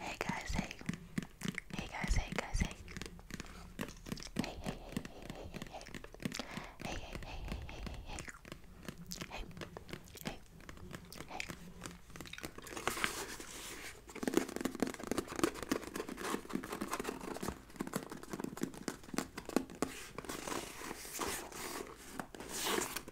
Hey guys, hey. Hey guys, hey guys, hey. Hey, hey, hey, hey, hey, hey, hey. Hey, hey, hey, hey, hey, hey, hey. Hey, hey, hey.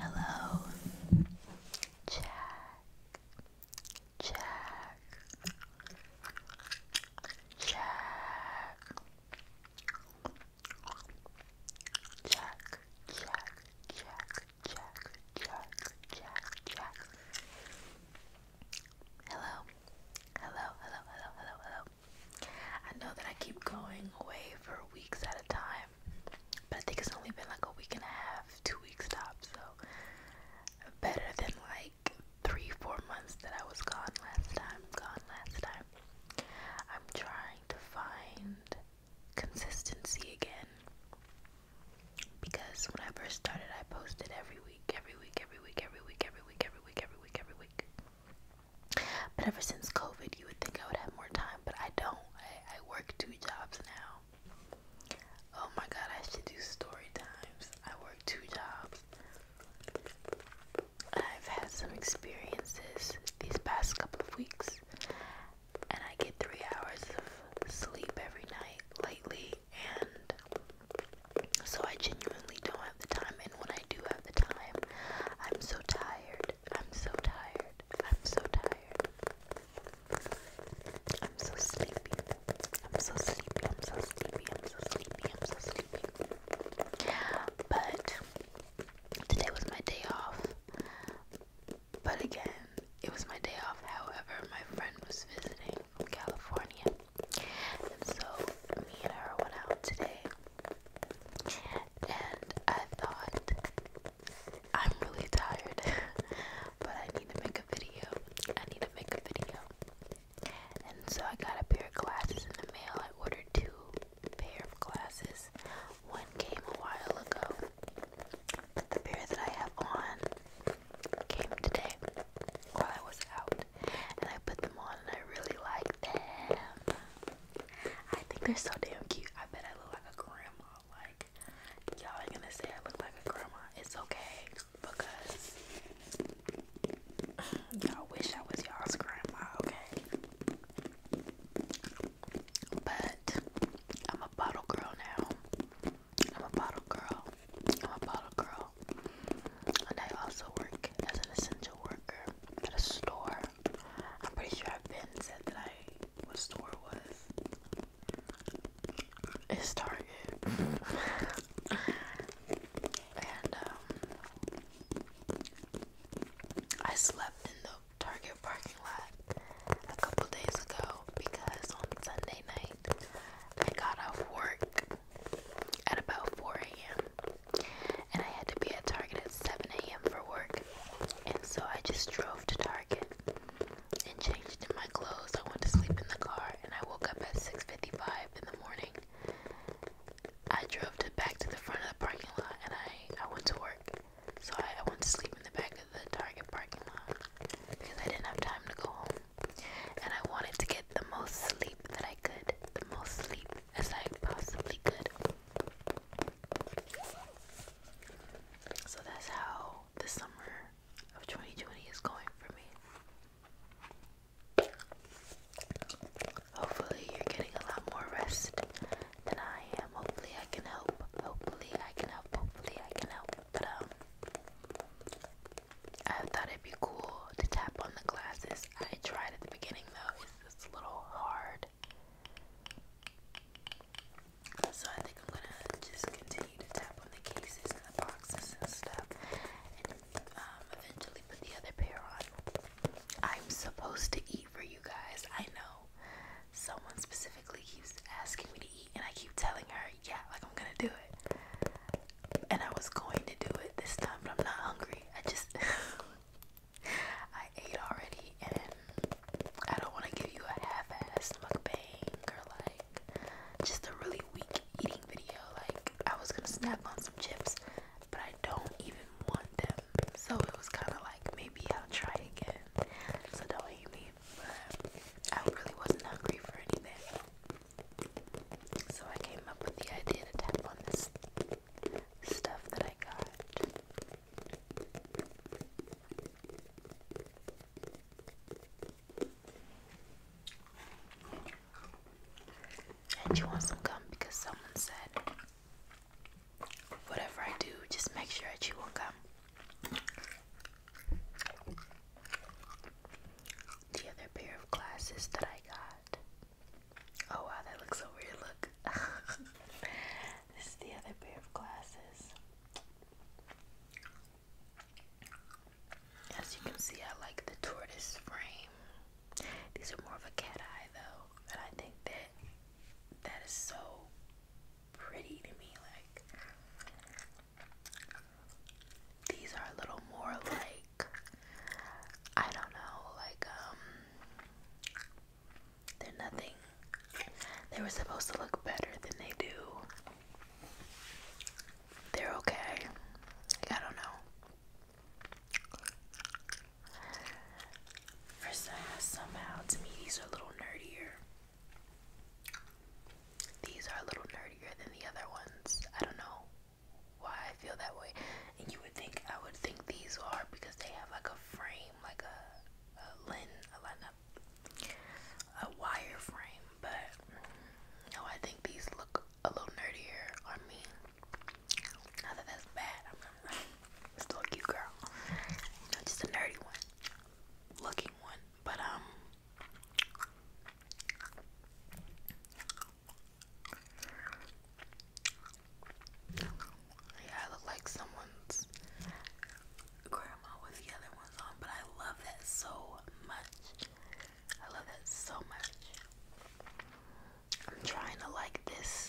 Hello, Jack. Jack, Check. Check. Check. Check. Check. Check. Check. Check. Hello. Hello. Hello. Hello. Hello. Hello. I know that I keep going away for weeks at a time, but I think it's only been like a week and a half, two weeks top, so better than like three, four months that I was gone last time. Gone last time. I'm trying to find consistency again. Because when I first started, I posted every week, every week, every week, every week, every week, every week, every week, every week. But ever since COVID, you would think I would have more time, but I don't. I, I work two jobs now. Oh my god, I should do story times. I work two jobs. I've had some experiences these past couple of weeks, and I get three hours of sleep every night lately, and so I genuinely don't have the time. And when I do have the time, I'm so tired. I'm so tired. I'm so tired. I'm so sleepy. I'm so sleepy. I'm so sleepy. I'm so sleepy. I'm so sleepy. But today was my day off. But again, it was my day off. However, my friend was visiting from California. And so me and her went out today. And I thought I'm really tired, but I need to make a video. I need to make a video. And so I got a pair of glasses in the mail. I ordered two pair of glasses. One came a while ago. But the pair that I have on came today while I was out. And I put them on and I really like them. I think they're so damn cute. I bet I look like a grandma. Like y'all are gonna say I look like a grandma. It's okay because y'all wish I was y'all's grandma, okay? But I'm a bottle girl now. I'm a bottle girl. I'm a bottle girl. And I also work as an essential worker at a store. I'm pretty sure I've been said that I what store was. It's Target. and um I slept in the Target parking lot a couple days ago because on Sunday night I got off work at about 4 a.m. and I had to be at Target at 7 a.m. for work, and so I just drove to Target and changed in my clothes. I went to sleep in the car and I woke up at 6:55 in the morning. I drove to back to the front of the parking lot and I, I went to work. So I went to sleep in the back of the Target parking lot because I didn't have time to go home. And I wanted to get the most sleep that I could, the most sleep as I possibly could. So that's how the summer of 2020 is going for me. Hopefully, you're getting a lot more rest than I am. Hopefully, I can help. Hopefully, I can help. Hopefully, I can help. But, um, I thought it'd be cool to tap on the glasses. I tried at the beginning though, it's, it's a little hard. So I think I'm gonna just continue to tap on the cases and the boxes and stuff, and um, eventually put the other pair on. I'm supposed to eat for you guys. I know. Someone specifically keeps asking me to eat, and I keep telling her, "Yeah, like I'm gonna do it." And I was going to do it this time, but I'm not hungry. I just I ate already, and I don't want to give you a half-assed mukbang or like just a really weak eating video. Like I was gonna snap on some chips, but I don't even want them, so it was kind of like maybe I'll try again. So don't hate me, but I really wasn't hungry for anything. So I came up with the idea to tap on this stuff that I got. And you want some gum because someone said, whatever I do, just make sure I chew on gum. The other pair of glasses that I got Oh wow, that looks so weird. Look. this is the other pair of glasses. As you can see, I like the tortoise frame. These are more of a cat eye though, and I think that that is so pretty to me. Like these are a little more like I don't know, like um they're nothing. They were supposed to look better than they do. They're okay. I don't know. For some, somehow, to me, these are a little nerdier. These are a little nerdier than the other ones. I don't know why I feel that way and you would think I would think these are because they have like a frame, like a, a lin, a, line up, a wire frame. But mm, no, I think these look a little nerdier on me. Not that that's bad. I'm, not. Still a cute girl. You just a nerdy one, looking one. But um. Yeah, I look like someone's grandma with the other ones on, but I love that so much. I love that so much. I'm trying to like this.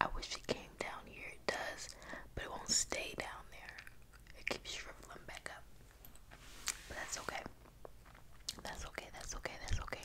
I wish it came down here. It does, but it won't stay down there. It keeps shriveling back up. But that's okay. That's okay. That's okay. That's okay.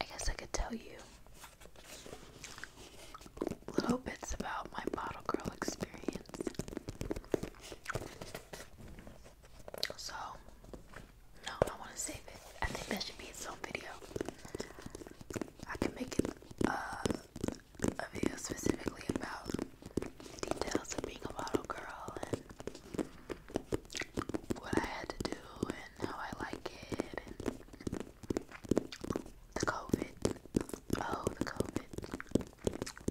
I guess I could tell you little bits about my bottle girl experience. So, no, I want to save it. I think that should be its own video. I can make it uh, a video specifically about details of being a model girl and what I had to do and how I like it and the COVID. Oh, the COVID.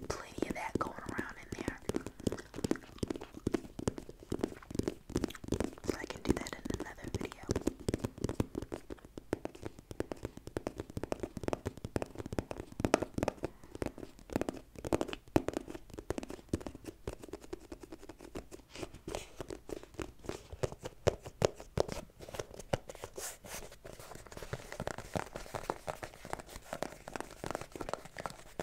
Plenty of that going around in there. So I can do that in another video.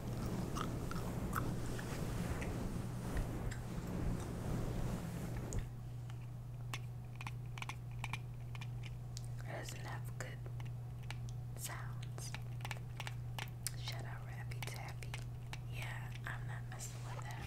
It doesn't have good sounds. Shut out Rappy Tappy. Yeah, I'm not messing with that.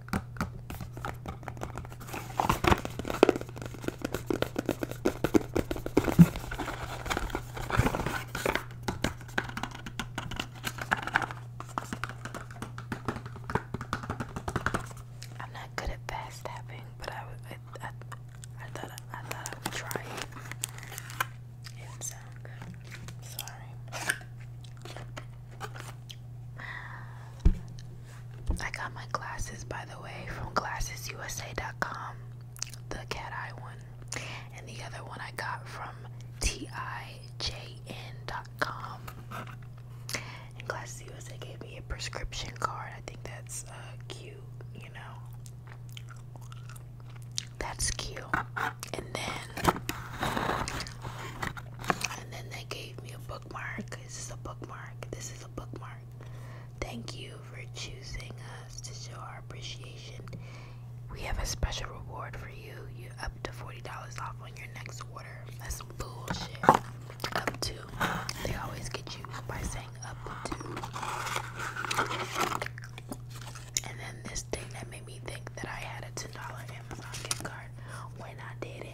I'm not good at fast tapping, but I would. I, thought I, thought I would try it. Sorry. I got my glasses by the way from glassesusa.com, the cat eye one, and the other one I got from tijn.com. And Glasses gave me a prescription card. I think that's uh, cute, you know. That's cute. And then, and then they gave me a bookmark. This is a bookmark. This is a bookmark. Thank you for choosing us to show our appreciation. We have a special reward for you. You are up to forty dollars off on your next order. That's some bullshit. Up to. They always get you by saying up to. And then this thing that made me think that I had a ten dollar Amazon gift card when I didn't.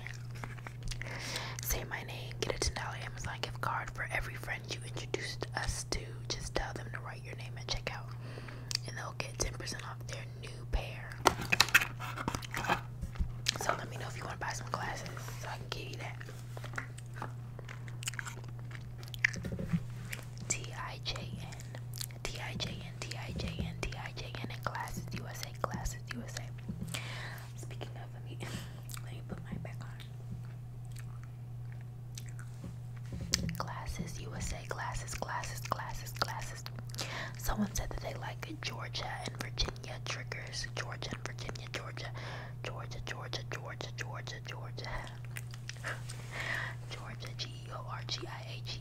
Say my name, get a $10 Amazon gift card for every friend you introduced us to. Just tell them to write your name at checkout, and they'll get 10% off their new pair. So let me know if you want to buy some glasses so I can give you that. T I J N T I J N T I J N T I J N and glasses U S USA, Glasses USA. Speaking of, let me let me put mine back on. Glasses USA, glasses, glasses, glasses, glasses. Someone said that they like Georgia and Virginia triggers. Georgia and Virginia, Georgia, Georgia, Georgia, Georgia, Georgia, Georgia. Georgia, G E O R G I A G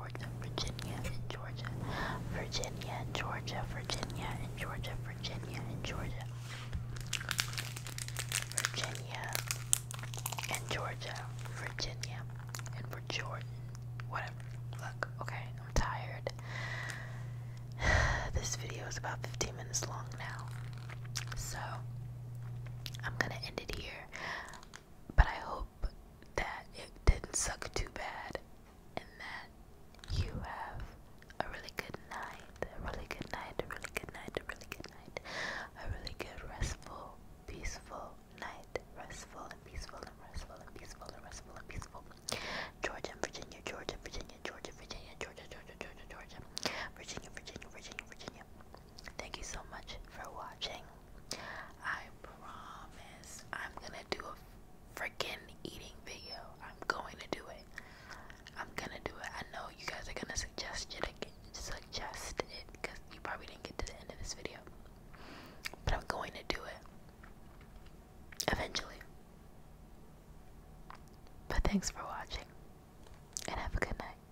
Georgia, Virginia, and Georgia, Virginia, and Georgia, Virginia, and Georgia, Virginia, and Georgia, Virginia, and Georgia, Virginia, and for Jordan, whatever. Look, okay, I'm tired. This video is about 15 minutes long now, so I'm gonna end it here. But I hope that it didn't suck too bad and that you have a really good night, a really good night, a really good night, a really good night, a really good restful, peaceful night, restful and peaceful and restful and peaceful and restful and peaceful. Georgia, Virginia, Georgia, Virginia, Georgia, Virginia, Georgia, Georgia, Georgia, Virginia, Virginia, Virginia, Virginia. Thank you so much for watching. I promise I'm gonna do a freaking eating video. I'm going to do it. I'm gonna do it. I know you guys are gonna suggest it again, suggest it because you probably didn't get to the end of this video. But I'm going to do it eventually. But thanks for watching and have a good night.